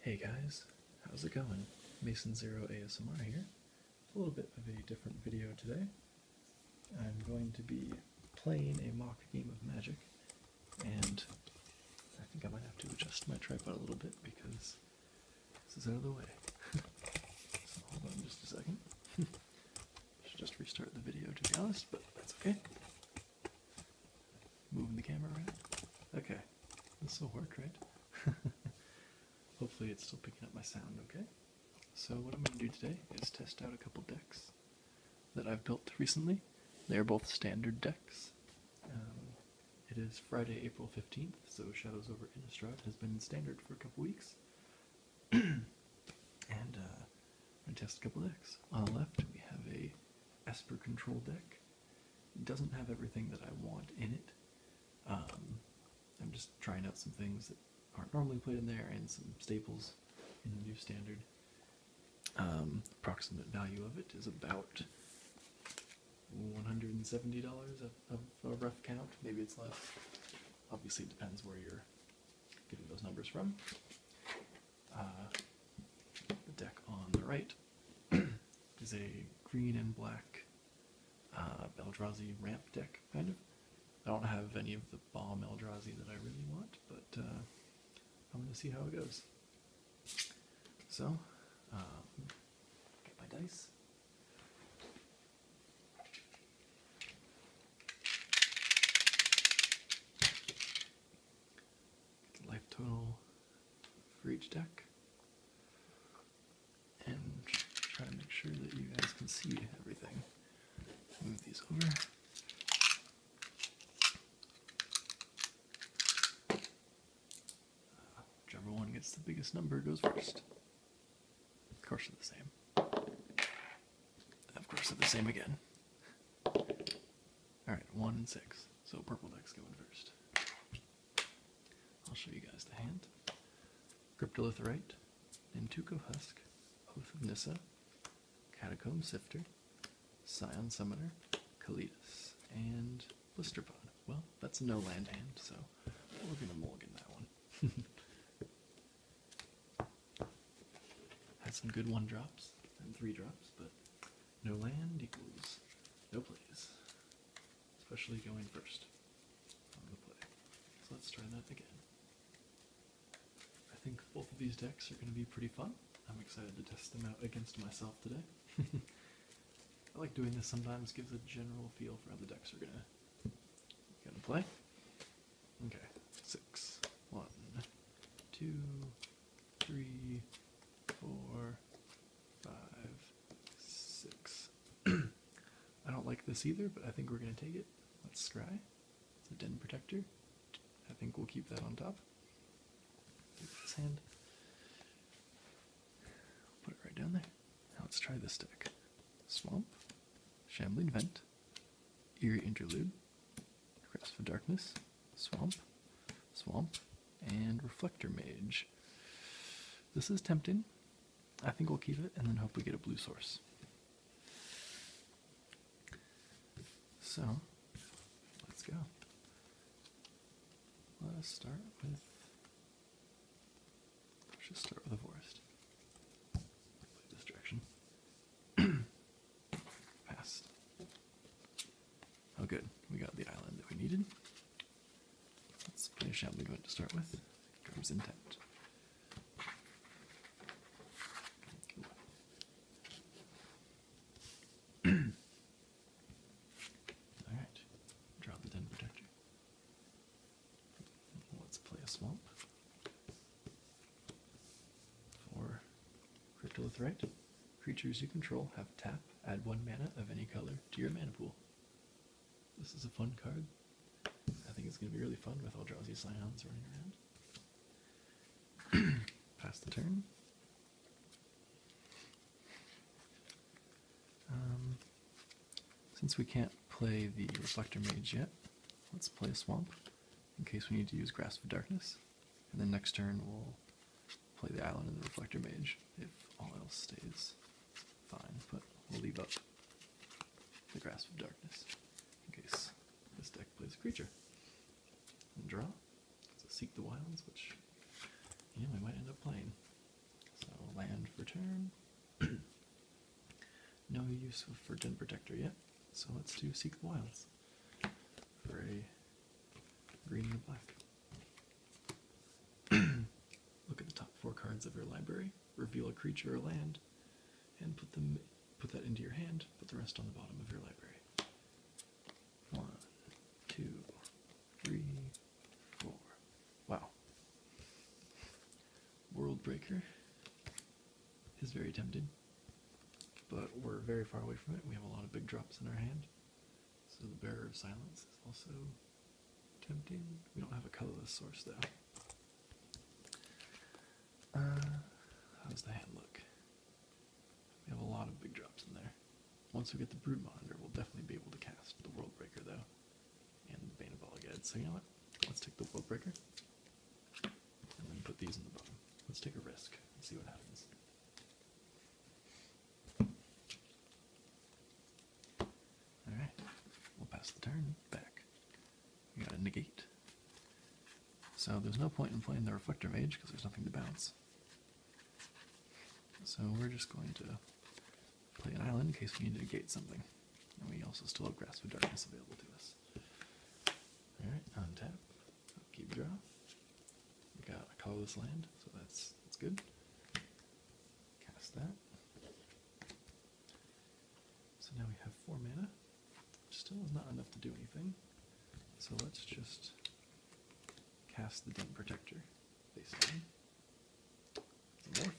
Hey guys, how's it going? Mason Zero ASMR here. A little bit of a different video today. I'm going to be playing a mock game of Magic, and I think I might have to adjust my tripod a little bit because this is out of the way. so hold on just a second. Should just restart the video to be honest, but that's okay. Moving the camera around. Okay, this will work, right? Hopefully, it's still picking up my sound, okay? So, what I'm going to do today is test out a couple decks that I've built recently. They are both standard decks. Um, it is Friday, April 15th, so Shadows over Innistrad has been standard for a couple weeks. and uh, I test a couple decks. On the left, we have a Esper Control deck. It doesn't have everything that I want in it. Um, I'm just trying out some things that aren't normally played in there and some staples in the new standard. Um, approximate value of it is about $170 a rough count. Maybe it's less. Obviously, it depends where you're getting those numbers from the uh, deck on the right is a green and black uh, Eldrazi ramp deck, kind of. I don't have any of the bomb Eldrazi that I really want, but uh, I'm going to see how it goes. So, uh, get my dice life total for each deck and try to make sure that you guys can see everything. Move these over. Uh, one gets the biggest number goes first. Of course they're the same. Of course they're the same again. All right, one and six. So purple deck's going first. I'll show you guys the hand. Cryptolitherite, Nintuko Husk, Oath Catacomb Sifter, Scion Summoner, Kalidas, and Blisterbone. Well, that's no land hand, so we're gonna mulligan that one. Had some good one drops and three drops, but no land equals no plays, especially going first on the play. So let's try that again. I think both of these decks are going to be pretty fun. I'm excited to test them out against myself today. I like doing this sometimes, gives a general feel for how the decks are going to gonna play. Okay, six, one, two, three, four, five, six. I don't like this either, but I think we're going to take it. Let's try. It's a den protector. I think we'll keep that on top. this hand. Put it right down there. Now let's try this deck. Swamp, Shambling Vent, Eerie Interlude, Grasp of Darkness, Swamp, Swamp, and Reflector Mage. This is tempting. I think we'll keep it and then hope we get a blue source. So, let's go. Let's start with. Let's just start with the forest. this direction. Passed. Oh, good. We got the island that we needed. Let's finish out movement to start with. Drums intact. Alright, draw the Den Protector. Let's play a swamp for Cryptolith, right? Creatures you control have tap, add one mana of any color to your mana pool. This is a fun card. I think it's going to be really fun with all drowsy scions running around. Pass the turn. Um, since we can't play the Reflector Mage yet, let's play a Swamp in case we need to use Grasp of Darkness. And then next turn we'll play the island and the reflector mage if all else stays fine, but we'll leave up the grasp of darkness in case this deck plays a creature. And draw. So seek the wilds, which yeah, we might end up playing. So land for turn. no use for Den Protector yet, so let's do Seek the Wilds gray, green, and black. Look at the top four cards of your library, reveal a creature or land, and put them put that into your hand, put the rest on the bottom of your library. One, two, three, four. Wow. World Breaker is very tempted but we're very far away from it. We have a lot of big drops in our hand, so the bearer of silence is also tempting. We don't have a colorless source though. Uh, how does the hand look? We have a lot of big drops in there. Once we get the brood monitor, we'll definitely be able to cast the world breaker though, and the bane of all again. So you know what? Let's take the world breaker, and then put these in the bottom. Let's take a risk and see what happens. Alright, we'll pass the turn back. We gotta negate. So there's no point in playing the Reflector Mage because there's nothing to bounce. So we're just going to play an island in case we need to negate something. And we also still have Grasp of Darkness available to us. Alright, untap. Keep draw. We got a colorless land, so that's that's good. Cast that. So now we have four mana. which Still is not enough to do anything. So let's just cast the Demon Protector. basically. down.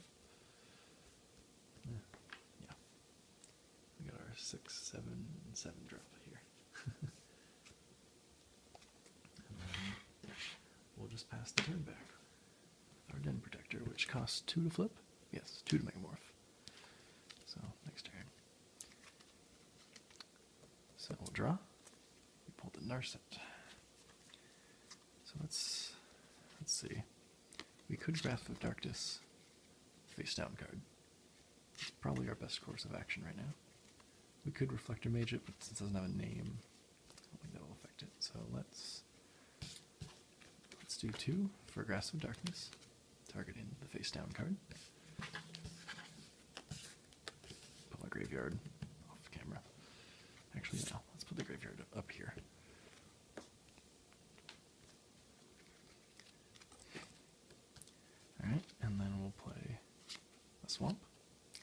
Yeah. We got our six, seven, seven drop here. we'll just pass the turn back. Our den protector, which costs two to flip. Yes, two to megamorph. So next turn. So we'll draw. We pull the Narset. So let's let's see. We could Wrath of Darkness face down card. It's probably our best course of action right now. We could reflect Reflector Mage it, but since it doesn't have a name, I don't think that'll affect it. So let's let's do two for Grasp of Darkness, targeting the face down card. Put my graveyard off camera. Actually, no. Let's put the graveyard up here. Alright, and then we'll play a swamp,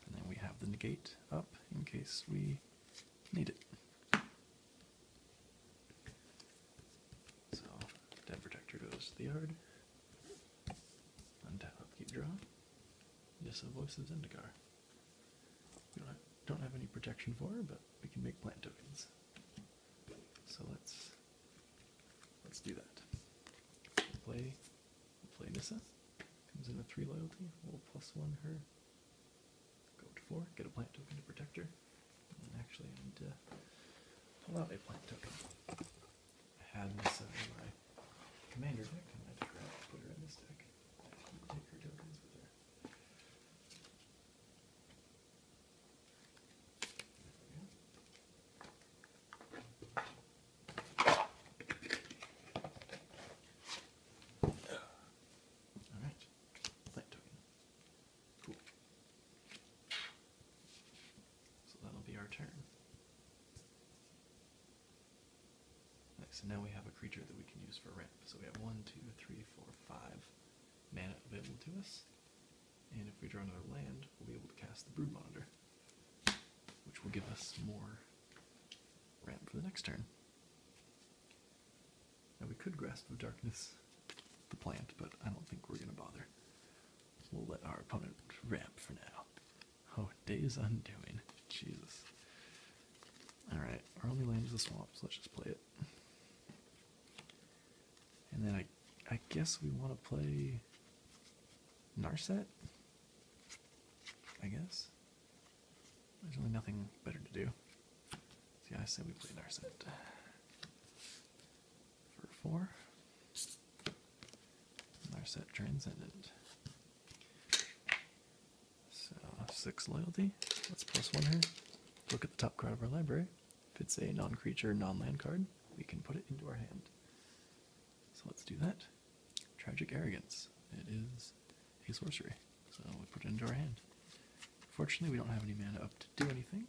and then we have the negate up in case we need it. So, Dead Protector goes to the yard. Untap upkeep draw. Just a voice of Zendikar. We don't have, any protection for her, but we can make plant tokens. So let's Let's do that. Play, play Nissa. Comes in a three loyalty. one her. Go to four. Get a plant token to protect her. And actually, pull out a plant token. I had Nissa in my commander deck. I'm going to put her in this deck. Take her tokens with her. Alright. Light token. Cool. So that'll be our turn. Nice, and now we have a creature that we can use for ramp. So we have one, two, three, four, five mana available to us. And if we draw another land, we'll be able to cast the Brood Monitor, which will give us more ramp for the next turn. Now we could Grasp of Darkness the plant, but I don't think we're going to bother. We'll let our opponent ramp for now. Oh, day's undoing. Jesus. Alright, our only land is a swamp, so let's just play it. And then I I guess we want to play Narset? I guess. There's really nothing better to do. See, I said we play Narset. For four. Narset Transcendent. So, six loyalty. Let's That's plus one here. Look at the top card of our library. If it's a non creature, non land card, we can put it into our hand. So let's do that. Tragic Arrogance. It is a sorcery, so we put it into our hand. Fortunately, we don't have any mana up to do anything,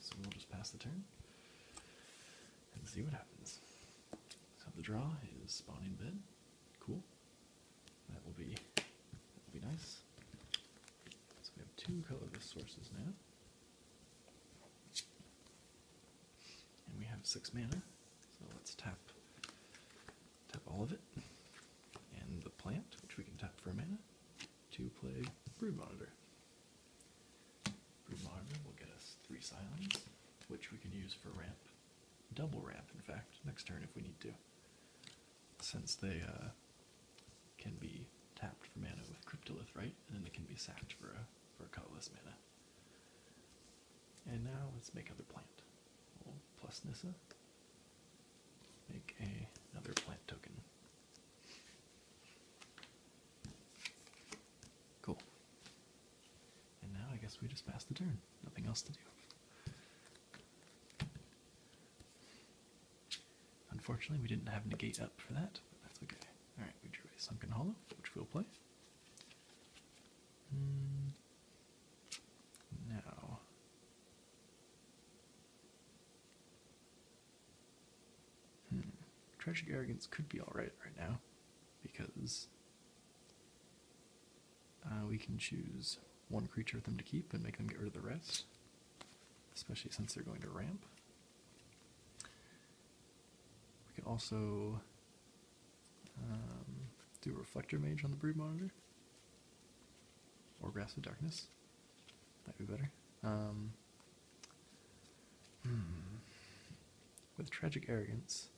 so we'll just pass the turn and see what happens. So the draw is Spawning Bed. Cool. That will be that will be nice. So we have two colorless sources now. And we have six mana, so let's tap tap all of it. And the plant, which we can tap for mana, to play Brew Monitor. Brew Monitor will get us three silence, which we can use for ramp. Double ramp, in fact, next turn if we need to. Since they uh, can be tapped for mana with Cryptolith, right? And then they can be sacked for a for a colorless mana. And now let's make another plant. plus Nissa. Make a, another plant token. Cool. And now I guess we just pass the turn. Nothing else to do. Unfortunately, we didn't have negate up for that, but that's okay. Alright, we drew a sunken hollow, which we'll play no. Hmm. Tragic Arrogance could be alright right now, because uh, we can choose one creature of them to keep and make them get rid of the rest, especially since they're going to ramp. We could also um, do a reflector mage on the brood monitor. Or grasp of darkness. Might be better. Um, hmm. With tragic arrogance,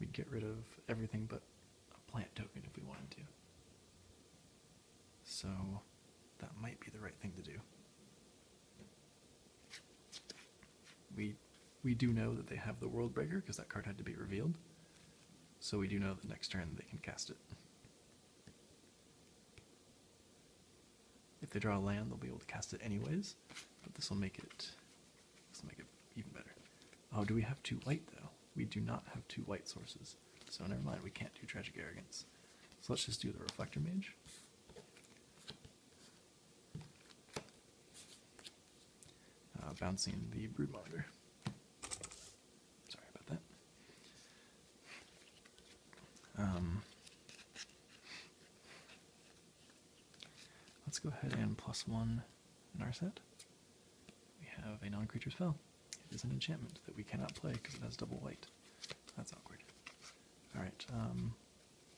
we'd get rid of everything but a plant token if we wanted to. So that might be the right thing to do. We we do know that they have the World Breaker because that card had to be revealed. So we do know the next turn they can cast it. If they draw a land, they'll be able to cast it anyways. But this will make it this will make it even better. Oh, do we have two white though? We do not have two white sources. So never mind, we can't do Tragic Arrogance. So let's just do the Reflector Mage. Uh, bouncing the brood monitor. Sorry about that. Um, let's go ahead and plus one in our set. We have a non creature spell. It is an enchantment that we cannot play because it has double white. That's awkward. All right, um,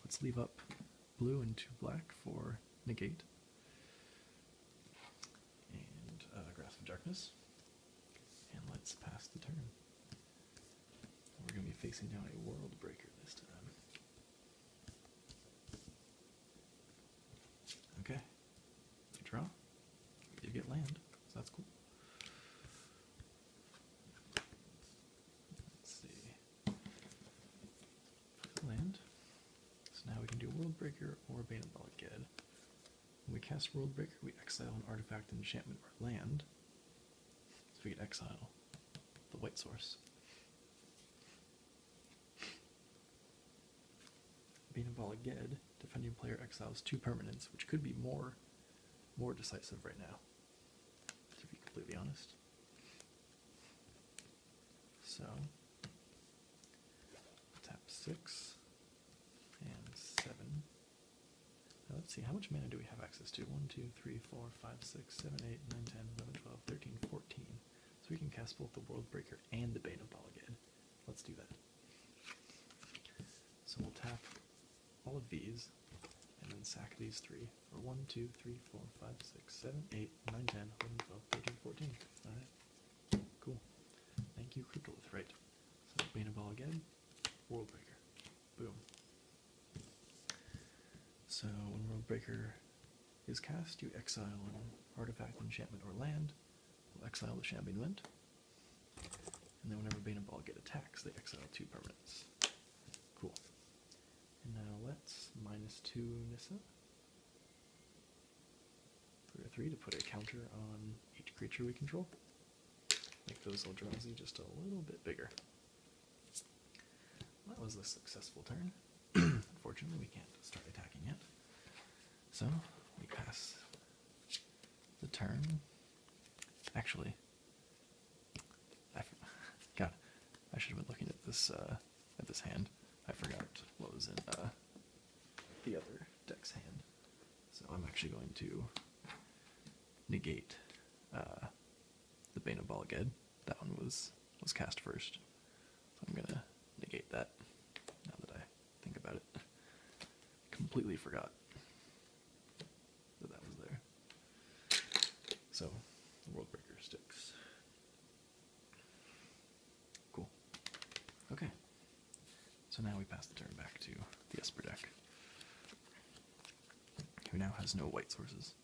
let's leave up blue and two black for negate and uh, grasp of darkness. And let's pass the turn. We're going to be facing down a world breaker this time. Okay, you draw. You get land, so that's cool. Land. So now we can do Worldbreaker or Bane of Belged. When we cast Worldbreaker, we exile an artifact, enchantment, or land. So we get exile the white source. Bane of Balaged, defending player exiles two permanents, which could be more more decisive right now to be completely honest. So tap six and seven. Now let's see, how much mana do we have access to? 1, 2, 3, 4, 5, 6, 7, 8, 9, 10, 11, 12, 13, 14. So we can cast both the Worldbreaker and the Bane of again. Let's do that. So we'll tap all of these, and then sack these three for 1, Alright, cool. Thank you, Cryptolith. Right. So, Bane Ball again, Worldbreaker. Boom. So, when Worldbreaker is cast, you exile an artifact, enchantment, or land. We'll exile the Shambinment, and then whenever Bane and Ball get attacked, they exile two permanents. Cool. And now let's minus two Nissa. Three or three to put a counter on each creature we control. Make those little Eldrazi just a little bit bigger. that was a successful turn. Unfortunately, we can't start attacking yet. So we pass the turn. Actually, God, I should have been looking at this uh, at this hand. I forgot what was in uh, the other deck's hand. So I'm actually going to negate uh, the Bane of Balaged. That one was was cast first. I'm gonna negate that now that I think about it. Completely forgot. So that was there. So, Worldbreaker sticks. Cool. Okay. So now we pass the turn back to the Esper deck, who now has no white sources.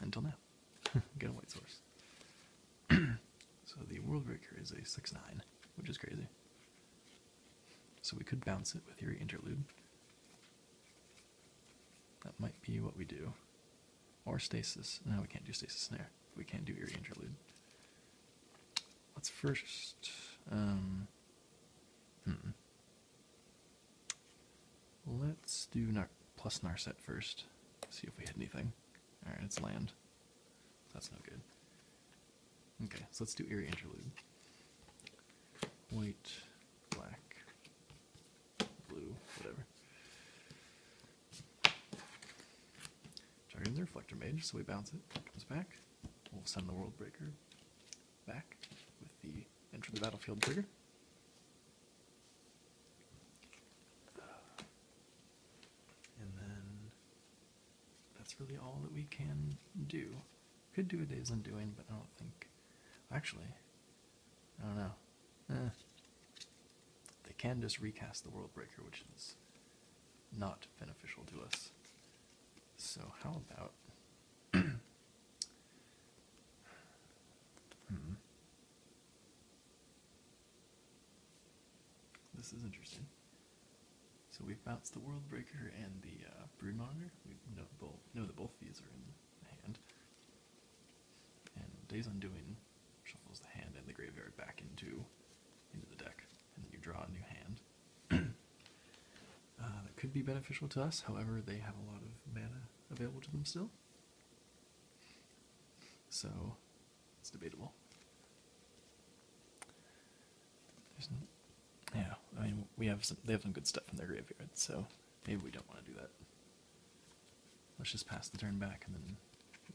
Until now. Get a white source. so the Worldbreaker is a 6 9, which is crazy. So we could bounce it with your interlude. That might be what we do. Or stasis. Now we can't do stasis snare. We can't do eerie interlude. Let's first. Um, hmm. Let's do nar plus Narset first. See if we hit anything. Alright, it's land. That's no good. Okay, so let's do eerie interlude. White, black, blue, whatever. Jargon's the reflector mage, so we bounce it, comes back. We'll send the world breaker back with the enter the battlefield trigger. And then that's really all that we can do. Could do a Days Undoing, but I don't think. Actually, I don't know. Eh. They can just recast the World Breaker, which is not beneficial to us. So, how about. Hmm. This is interesting. So we've bounced the Worldbreaker and the uh, Broodmonger. We know, that both these are in the hand. And Days Undoing shuffles the hand and the graveyard back into, into the deck, and then you draw a new hand. Uh, that could be beneficial to us, however, they have a lot of mana available to them still. So it's debatable yeah, I mean, we have some, they have some good stuff in their graveyard, so maybe we don't want to do that. Let's just pass the turn back, and then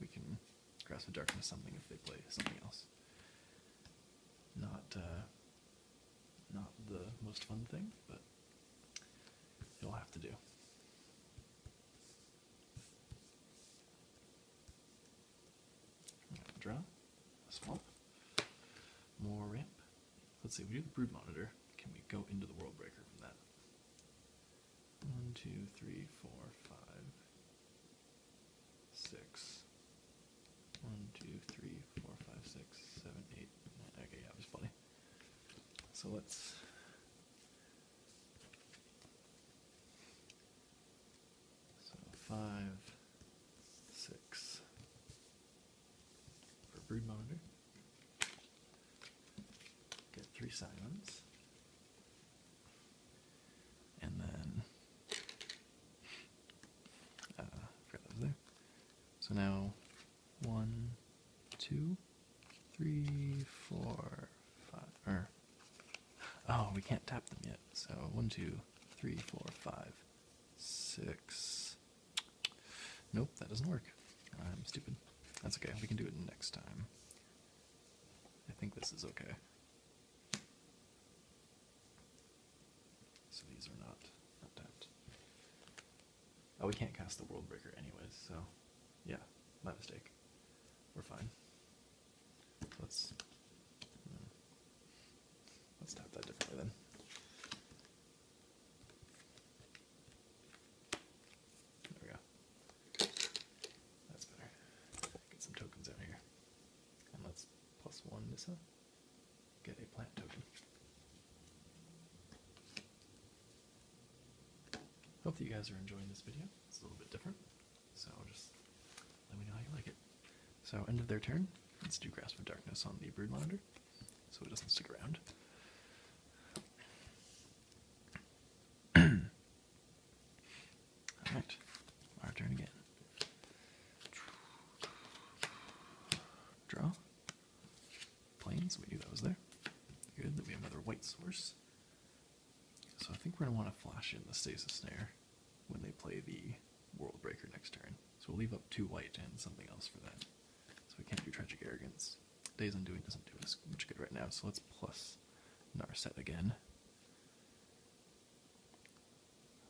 we can grasp the darkness something if they play something else. Not, uh, not the most fun thing, but it'll have to do. Draw. A swamp. More ramp. Let's see, we do the brood monitor. Can we go into the world breaker from that? One, two, three, four, five, six. One, two, three, four, Okay, yeah, it was funny. So let's so five, six for brood monitor. Get three silence. And then uh, forgot that there. So now one, two, three, four, five er. Oh, we can't tap them yet. So one, two, three, four, five six. Nope, that doesn't work. I'm stupid. That's okay, we can do it next time. I think this is okay. So these are not, not tapped. Oh, we can't cast the World Breaker anyways, so yeah, my mistake. We're fine. Let's hmm. Let's tap that differently then. There we go. That's better. Get some tokens out here. And let's plus one this up. Get a plant token. Hope that you guys are enjoying this video. It's a little bit different. So just let me know how you like it. So end of their turn. Let's do Grasp of Darkness on the Brood Monitor, so it doesn't stick around. Alright, our turn again. Draw. Planes, we knew that was there. Good that we have another white source. So I think we're going to want to flash in the Stasis Snare when they play the World Breaker next turn. So we'll leave up two white and something else for that. So we can't do Tragic Arrogance. Days Undoing doesn't do us much good right now, so let's plus Narset again.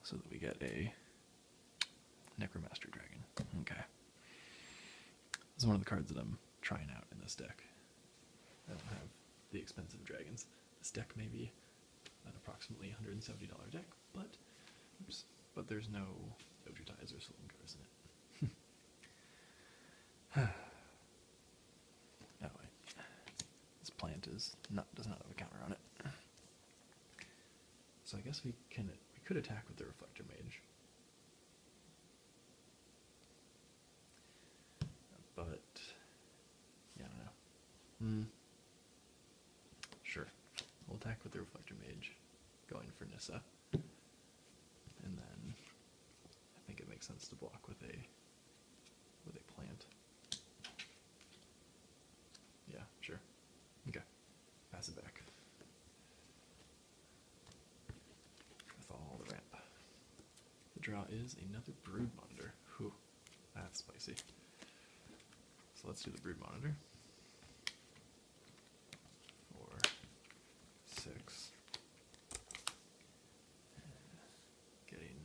So that we get a Necromaster Dragon. Okay. This is one of the cards that I'm trying out in this deck. I don't have the expensive dragons. This deck maybe an approximately $170 deck, but oops, but there's no Ojutais or Solungas in it. oh wait, this plant is not does not have a counter on it. So I guess we can we could attack with the Reflector Mage. But yeah, I don't know. Hmm. Sure. We'll attack with the Reflector Mage, going for Nissa. And then I think it makes sense to block with a with a plant. Yeah, sure. Okay. Pass it back. With all the ramp. The draw is another broodmother. Whew. That's spicy. So let's do the brood monitor. Four, six. Getting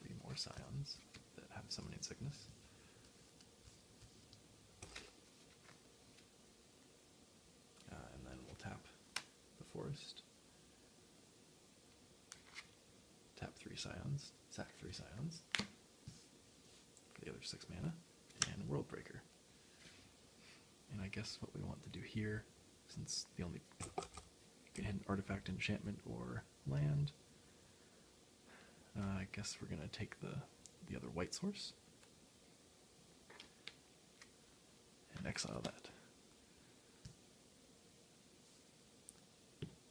three more scions that have summoning sickness. Uh, and then we'll tap the forest. Tap three scions, sack three scions, the other six mana, and Worldbreaker. And I guess what we want to do here, since the only you can hit artifact, enchantment, or land. Uh, I guess we're gonna take the the other white source and exile that.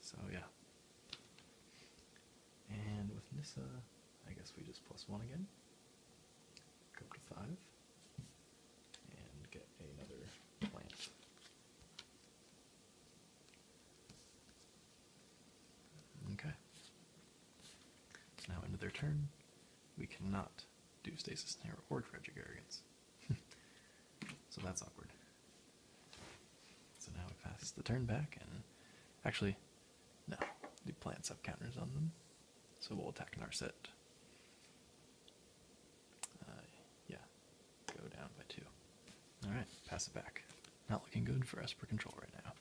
So yeah. And with Nissa, I guess we just plus one again. Go to five. And get another plant. Okay. Now into their turn. We cannot do Stasis Snare or Tragic Arrogance. so that's awkward. So now we pass the turn back, and actually, no, the plants have counters on them, so we'll attack Narset. Uh, yeah, go down by two. Alright, pass it back. Not looking good for Esper Control right now.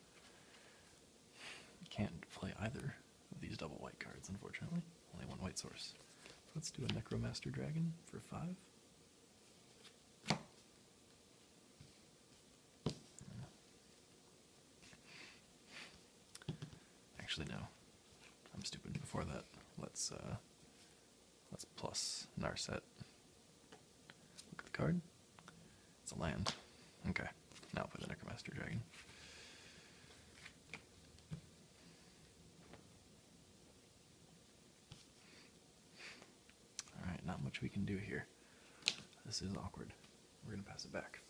Can't play either of these double white cards, unfortunately. Only one white source. Let's do a Necromaster Dragon for five. Actually, no. I'm stupid. Before that, let's uh, let's plus Narset. Look at the card. It's a land. Okay. Now i the Necromaster Dragon. All right, not much we can do here. This is awkward. We're going to pass it back.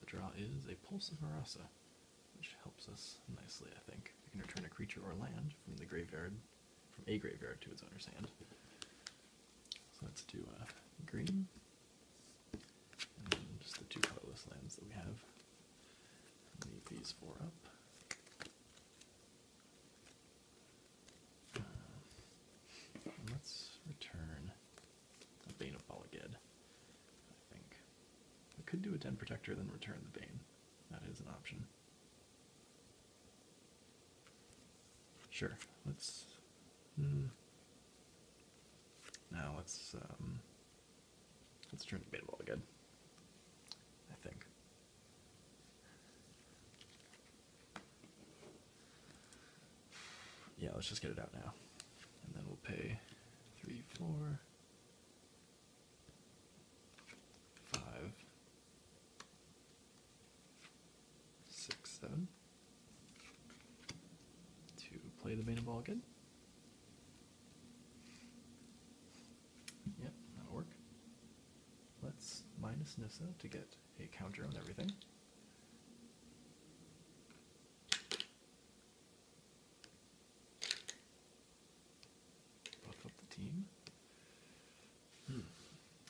The draw is a Pulse of Arasa, which helps us nicely, I think. We can return a creature or land from the graveyard, from a graveyard to its owner's hand. So let's do uh, green. And just the two colorless lands that we have. Leave these four up. let's return a Bane of Balaged, I think. We could do a Ten Protector, then return the Bane. That is an option. Sure, let's. Hmm. now let's um, Let's turn the beta ball again. I think. Yeah, let's just get it out now. And then we'll pay three, four, five, six, seven. To play the beta ball again. Yep, that'll work. Let's minus Nissa to get a counter on everything. Buff up the team. Hmm.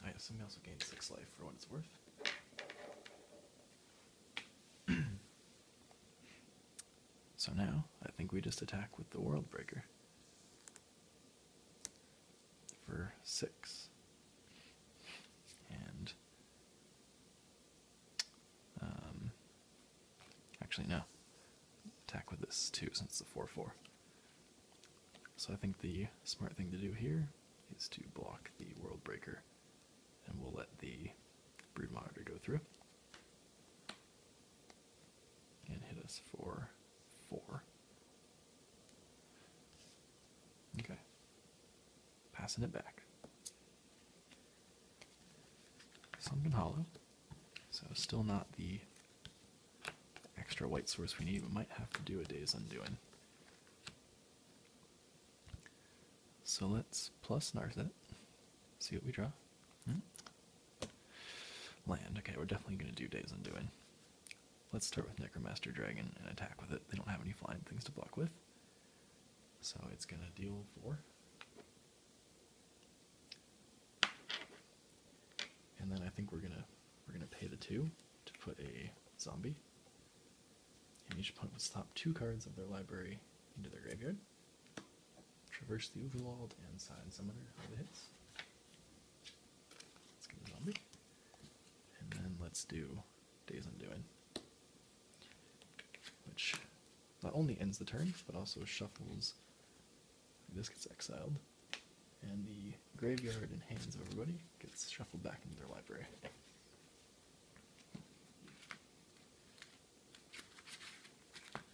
I assume I also gained six life for what it's worth. So now I think we just attack with the World Breaker for six. And um, actually, no. Attack with this too, since it's a 4 4. So I think the smart thing to do here is to block the World Breaker and we'll let the brood monitor go through and hit us for four. Okay, passing it back. Something Hollow, so still not the extra white source we need. We might have to do a day's undoing. So let's plus Narset. See what we draw. Hmm? Land. Okay, we're definitely gonna do Days Undoing. Let's start with Necromaster Dragon and attack with it. They don't have any flying things to block with. So it's gonna deal four. And then I think we're gonna we're gonna pay the two to put a zombie. And each opponent will stop two cards of their library into their graveyard traverse the overworld and sign some other hits. Let's get a zombie. And then let's do Days Undoing. Which not only ends the turn, but also shuffles. This gets exiled. And the graveyard and hands of everybody gets shuffled back into their library.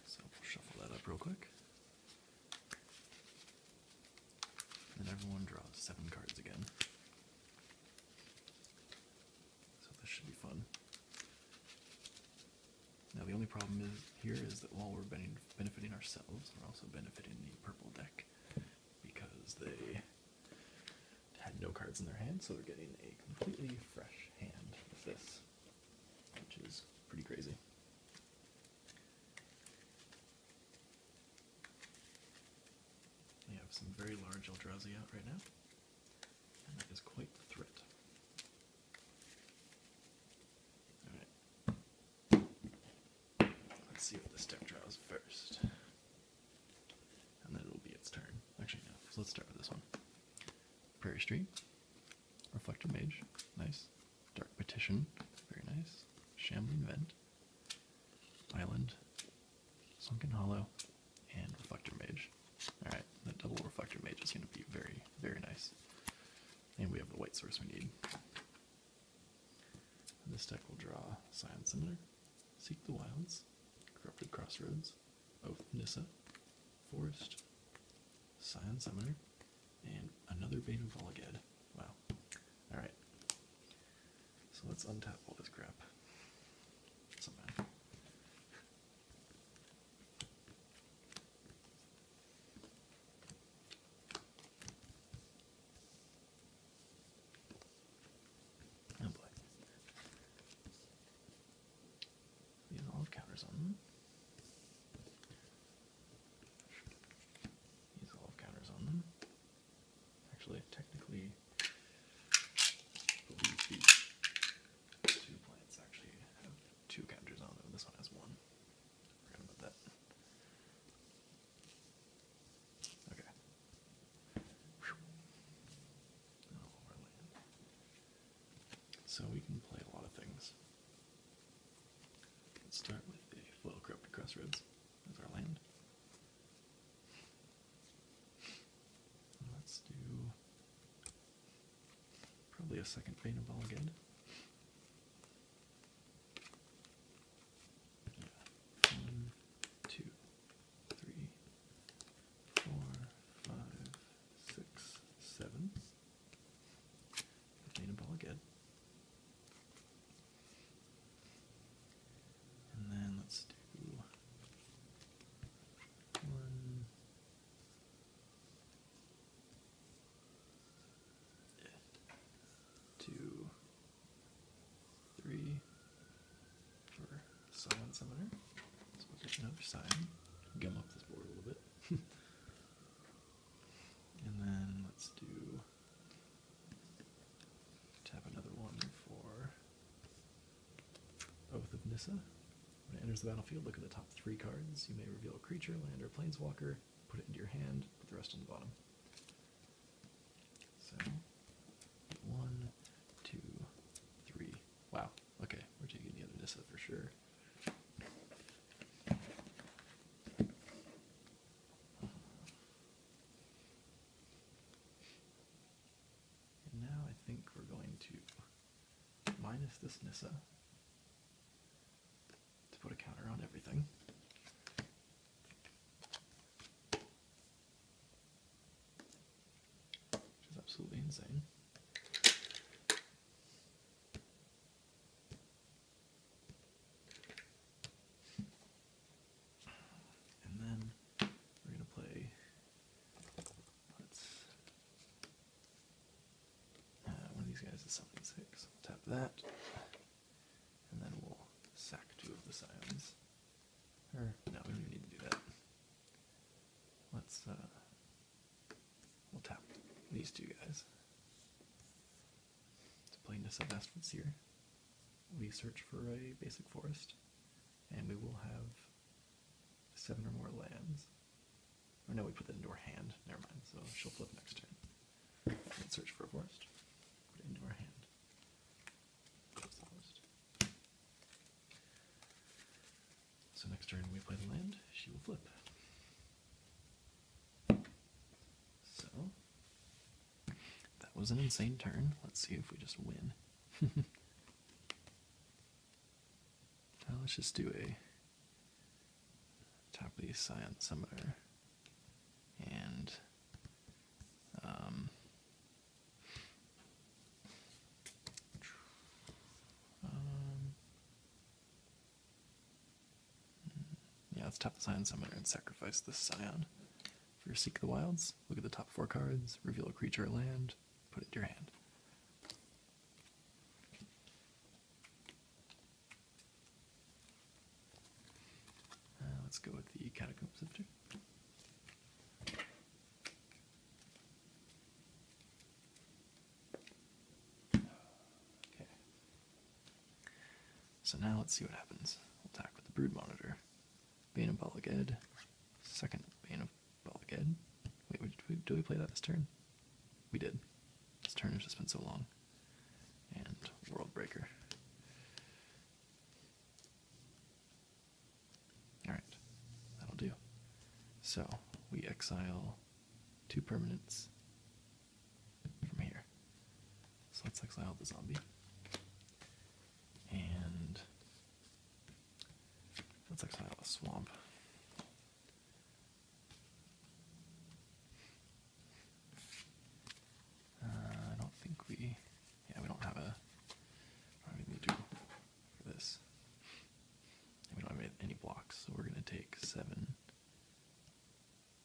So we'll shuffle that up real quick. And everyone draws seven cards again. So this should be fun. Now the only problem is here is that while we're benefiting ourselves, we're also benefiting the purple deck because they had no cards in their hand, so they're getting a completely fresh which is pretty crazy. We have some very large Eldrazi out right now, and that is quite the threat. Alright. Let's see what the step draws first. And then it'll be its turn. Actually, no. let's start with this one. Prairie Street, Reflector Mage, nice. Dark Petition, very nice. Shambling Vent, Island, Sunken Hollow, and Reflector Mage. Alright, the double Reflector Mage is going to be very, very nice. And we have the white source we need. And this deck will draw Scion Similar, Seek the Wilds, Corrupted Crossroads, Oath Nissa, Forest, Scion Summoner, and another Bane of Volaged. Wow. Alright. So let's untap all this crap. Oh boy these have counters on them. These olive counters on them. Actually, technically, two plants actually have two counters on them. This one has one. forgot about that. Okay. So we can play a lot of things. Let's start with the well corrupted crossroads as our land. Let's do probably a second beta ball again. One, two, three, four, five, six, seven. Need a ball again. And then let's do one. Summon Summoner. Let's look at another sign. Gum up this board a little bit. and then let's do. Tap another one for both of Nissa. When it enters the battlefield, look at the top three cards. You may reveal a creature, land, or planeswalker. Put it into your hand, put the rest on the bottom. So, one, two, three. Wow, Okay, we're taking the other Nissa for sure. now I think we're going to minus this Nissa to put a counter on everything. Which is absolutely insane. And then we're going to play. Let's. Uh, one of these guys is 76. Tap that. And then we'll sack two of the scions. no, we don't need to do that. Let's, uh, We'll tap these two guys It's to play Nissa Vastwood Seer. We search for a basic forest, and we will have seven or more lands. Or no, we put that into our hand. Never mind. So she'll flip next turn. let search for a forest. Put it into her hand. So next turn we play the land, she will flip. So that was an insane turn. Let's see if we just win. now let's just do a top of the science Summoner and um, um, yeah, let's tap the Scion Summoner and sacrifice this Scion. For your Seek the Wilds, look at the top four cards, reveal a creature or land, put it into your hand. Uh, let's go with the Catacomb Sifter. Okay. So now let's see what happens. attack with the brood monitor. Bane of Balaged. Second Bane of Balaged. Wait, did did we play that this turn? We did. This turn has just been so long. And World Breaker. All right, that'll do. So we exile two permanents from here. So let's exile the zombie. And let's exile the swamp. Uh, I don't think we, yeah, we don't have a, I for this. we don't have any blocks, so we're going to take 7,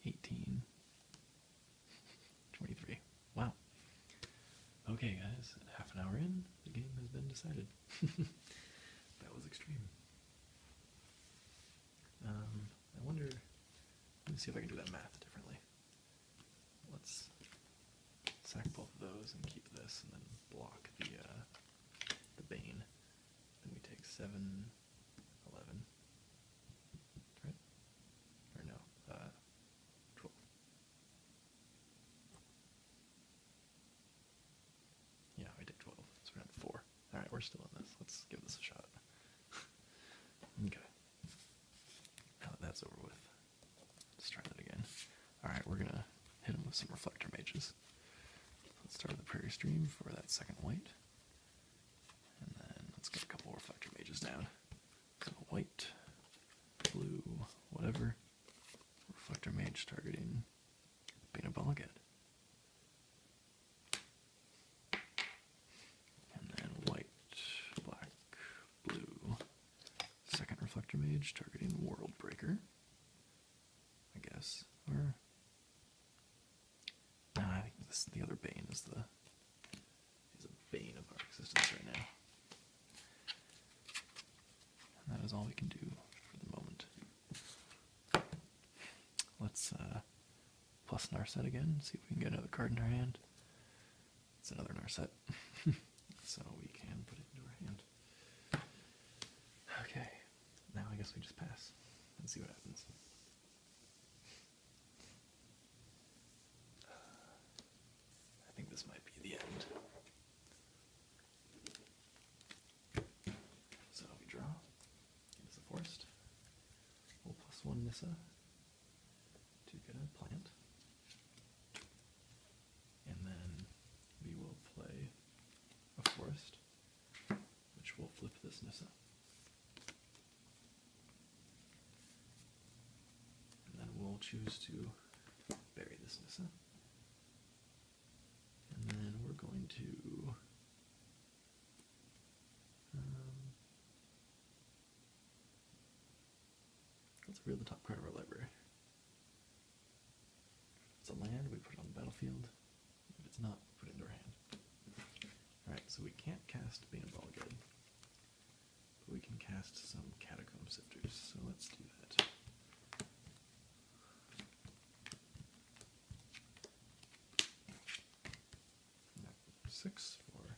18, 23. Wow. Okay, guys, half an hour in, the game has been decided. that was extreme. Um, I wonder. Let me see if I can do that math differently. Let's sack both of those and keep this, and then block the uh, the Bane. Then we take 7, right? Or no, uh, 12. Yeah, we did 12, so we're at 4. Alright, we're still in this. Let's give this a shot. okay. Now that that's over with, let's try that again. Alright, we're gonna hit him with some reflector mages. Let's start with the prairie stream for that second white. And then let's get a couple reflector mages down. So white, blue, whatever. Reflector mage targeting Bina Balagad. And then white, black, blue. Second reflector mage targeting World Breaker. I guess. no, I think the other bane is the is a bane of our existence right now. And that is all we can do for the moment. Let's uh plus Narset again, see if we can get another card in our hand. It's another Narset. so we can put it into our hand. Okay, now I guess we just pass and see what happens. I think this might be the end. So we draw. It is a forest. one Nissa to get a plant and then we will play a forest, which will flip this Nissa. And then we'll choose to bury this Nissa. And then we're going to. Um, let's reveal the top part of our library it's a land, we put it on the battlefield. If it's not, put into our hand. Alright, so we can't cast Bane of again, but we can cast some Catacomb Sifters, so let's do that. Six for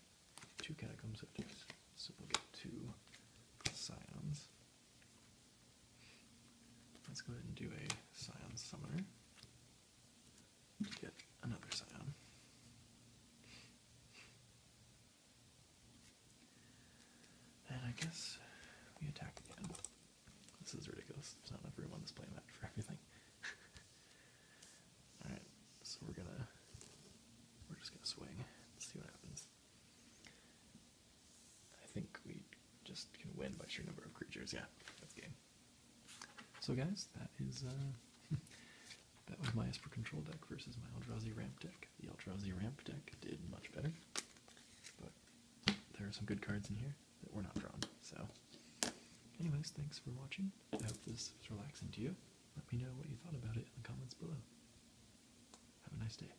two Catacomb Sifters, so we'll get two Scions. Let's go ahead and do a Scion Summoner get another Scion. And I guess we attack again. This is ridiculous. There's not enough room on this playmat for everything. Alright, so we're gonna we're just gonna swing and see what happens. I think we just can win by sheer number of creatures. Yeah, that's game. So guys, that is uh, that was my Esper control deck versus my Eldrazi ramp deck. The Eldrazi ramp deck did much better, but there are some good cards in here that were not drawn. So, anyways, thanks for watching. I hope this was relaxing to you. Let me know what you thought about it in the comments below. Have a nice day.